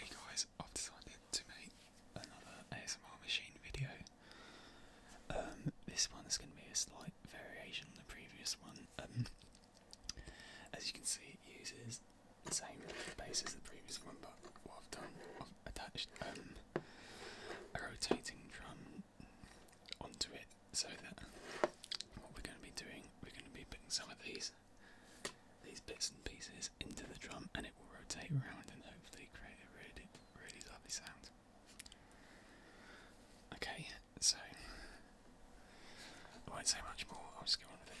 hey guys, I've decided to make another ASMR machine video. Um, this one is going to be a slight variation on the previous one. Um, as you can see, it uses the same base as the previous one, but what I've done, i attached um, a rotating drum onto it so that what we're going to be doing, we're going to be putting some of these these bits and pieces into the drum and it will rotate around and hopefully create a really, really lovely sound. Okay, so I won't say much more, I'll just go on with it.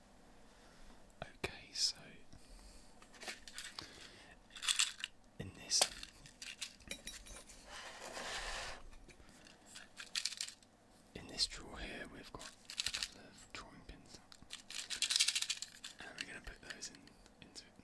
Okay, so in this in this drawer here we've got a couple of drawing pins and we're going to put those in into it.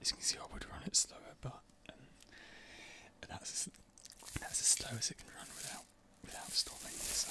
As you can see, I would run it slower, but um, that's as, that's slow as it can run without without stopping. So.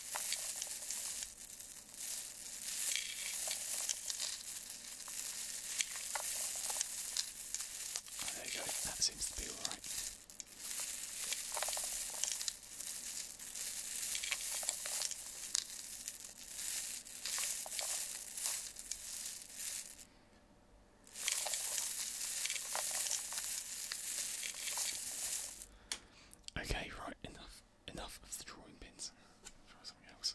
There you go, that seems to be alright. Okay, right, enough enough of the drawing pins. Try something else.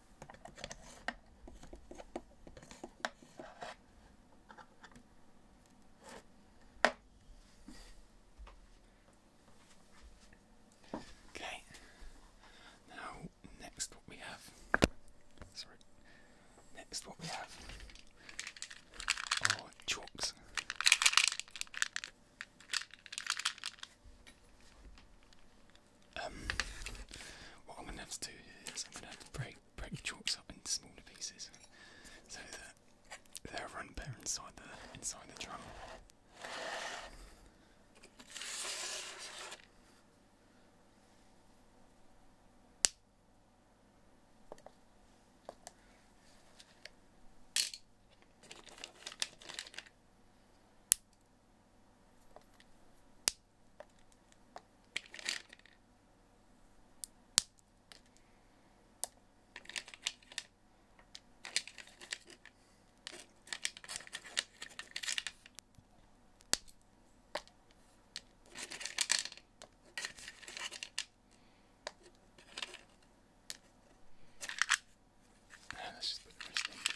Okay, now next what we have, sorry, next what we have are chalks. Um, what I'm going to have to do is I'm going to have to break break chalks up into smaller pieces so that they are run better inside the inside the drum. This has been interesting.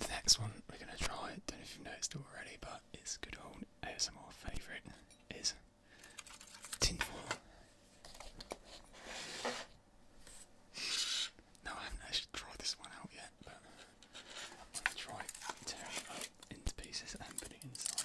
The next one we're going to try, don't know if you've noticed already, but it's good old ASMR favourite is tin foil. No, I haven't actually tried this one out yet, but I'm going to try tearing it up into pieces and putting it inside,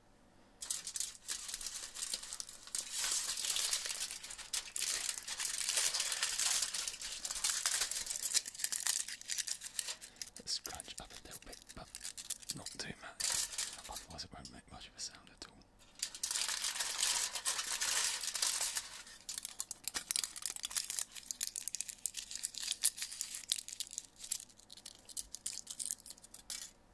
Let's scrunch up a little bit, but not too much, otherwise, it won't make much of a sound at all.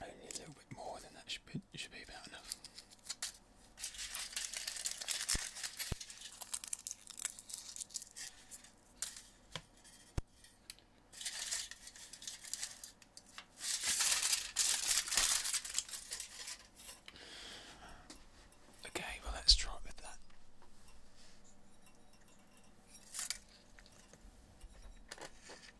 Only a little bit more, then that should be, should be about enough. Okay, well, let's try with that.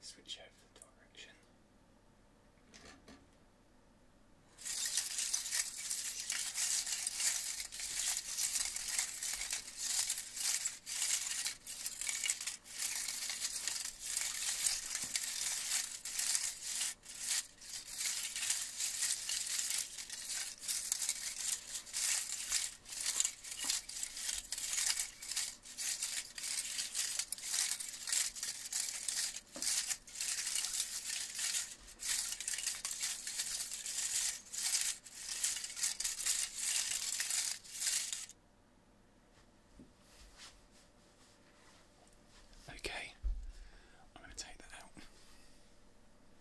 Switch over the direction. Okay, I'm going to take that out.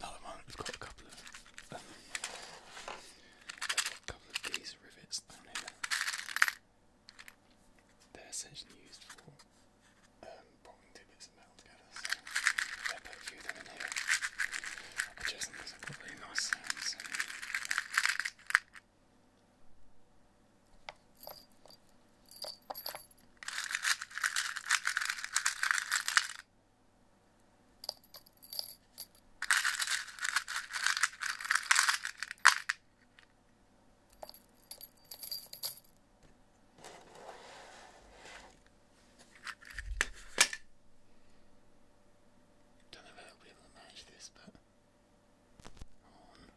Now at we've got a couple of couple of these rivets down here. They're essentially used for um, two bits of metal together, I put a few of in here. I just think these are nice sounds. Don't know if I'll be able to manage this, but on.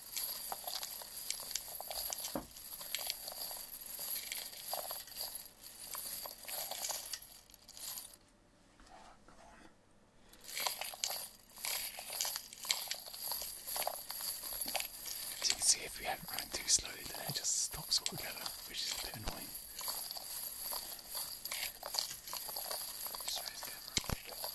As you can see, if we haven't run too slowly, then it just stops altogether, which is a bit annoying. Just raise the camera.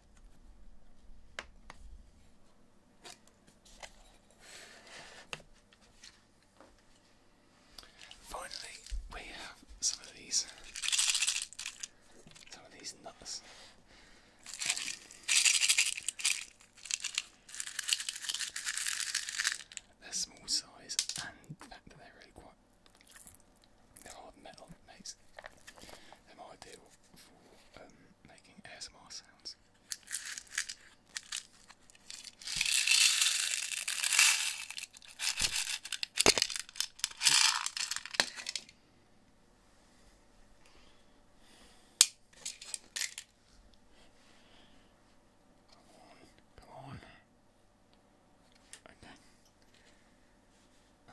Finally, we have some of these, uh, some of these nuts. They're small size, and the fact that they're really quite they're metal, makes them ideal for um, making ASMR sounds. Come on, come on. Okay. Uh,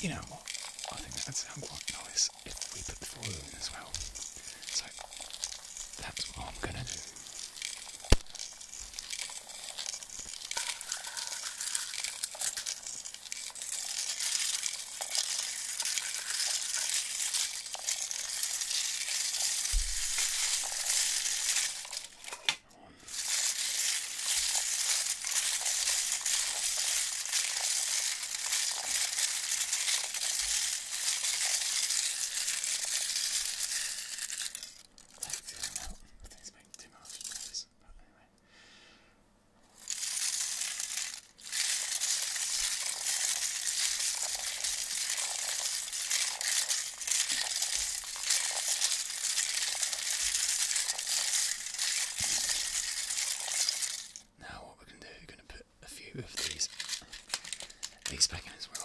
You know I think that would sound quite nice if we put the foil in as well. So that's what I'm gonna do. Like the amount, things make too much noise, but anyway. Now what we're going to do, we're going to put a few of these these back in as well.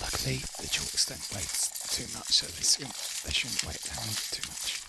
Luckily the chalks don't weigh too much so they shouldn't, they shouldn't weigh down too much.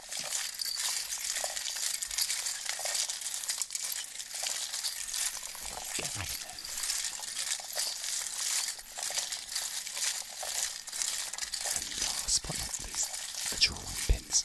Get right in there. And last but not least, the drawing pins.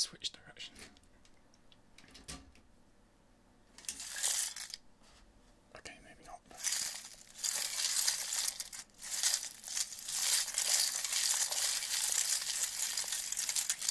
Switch direction. Okay, maybe not. But...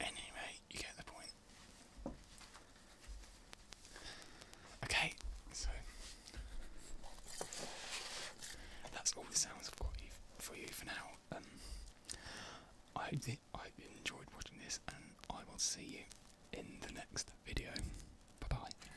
Anyway, you get the point. Okay, so that's all the sounds I've got for you for now. Um, I hope that I enjoyed watching this, and I will see you in the next video. Bye bye.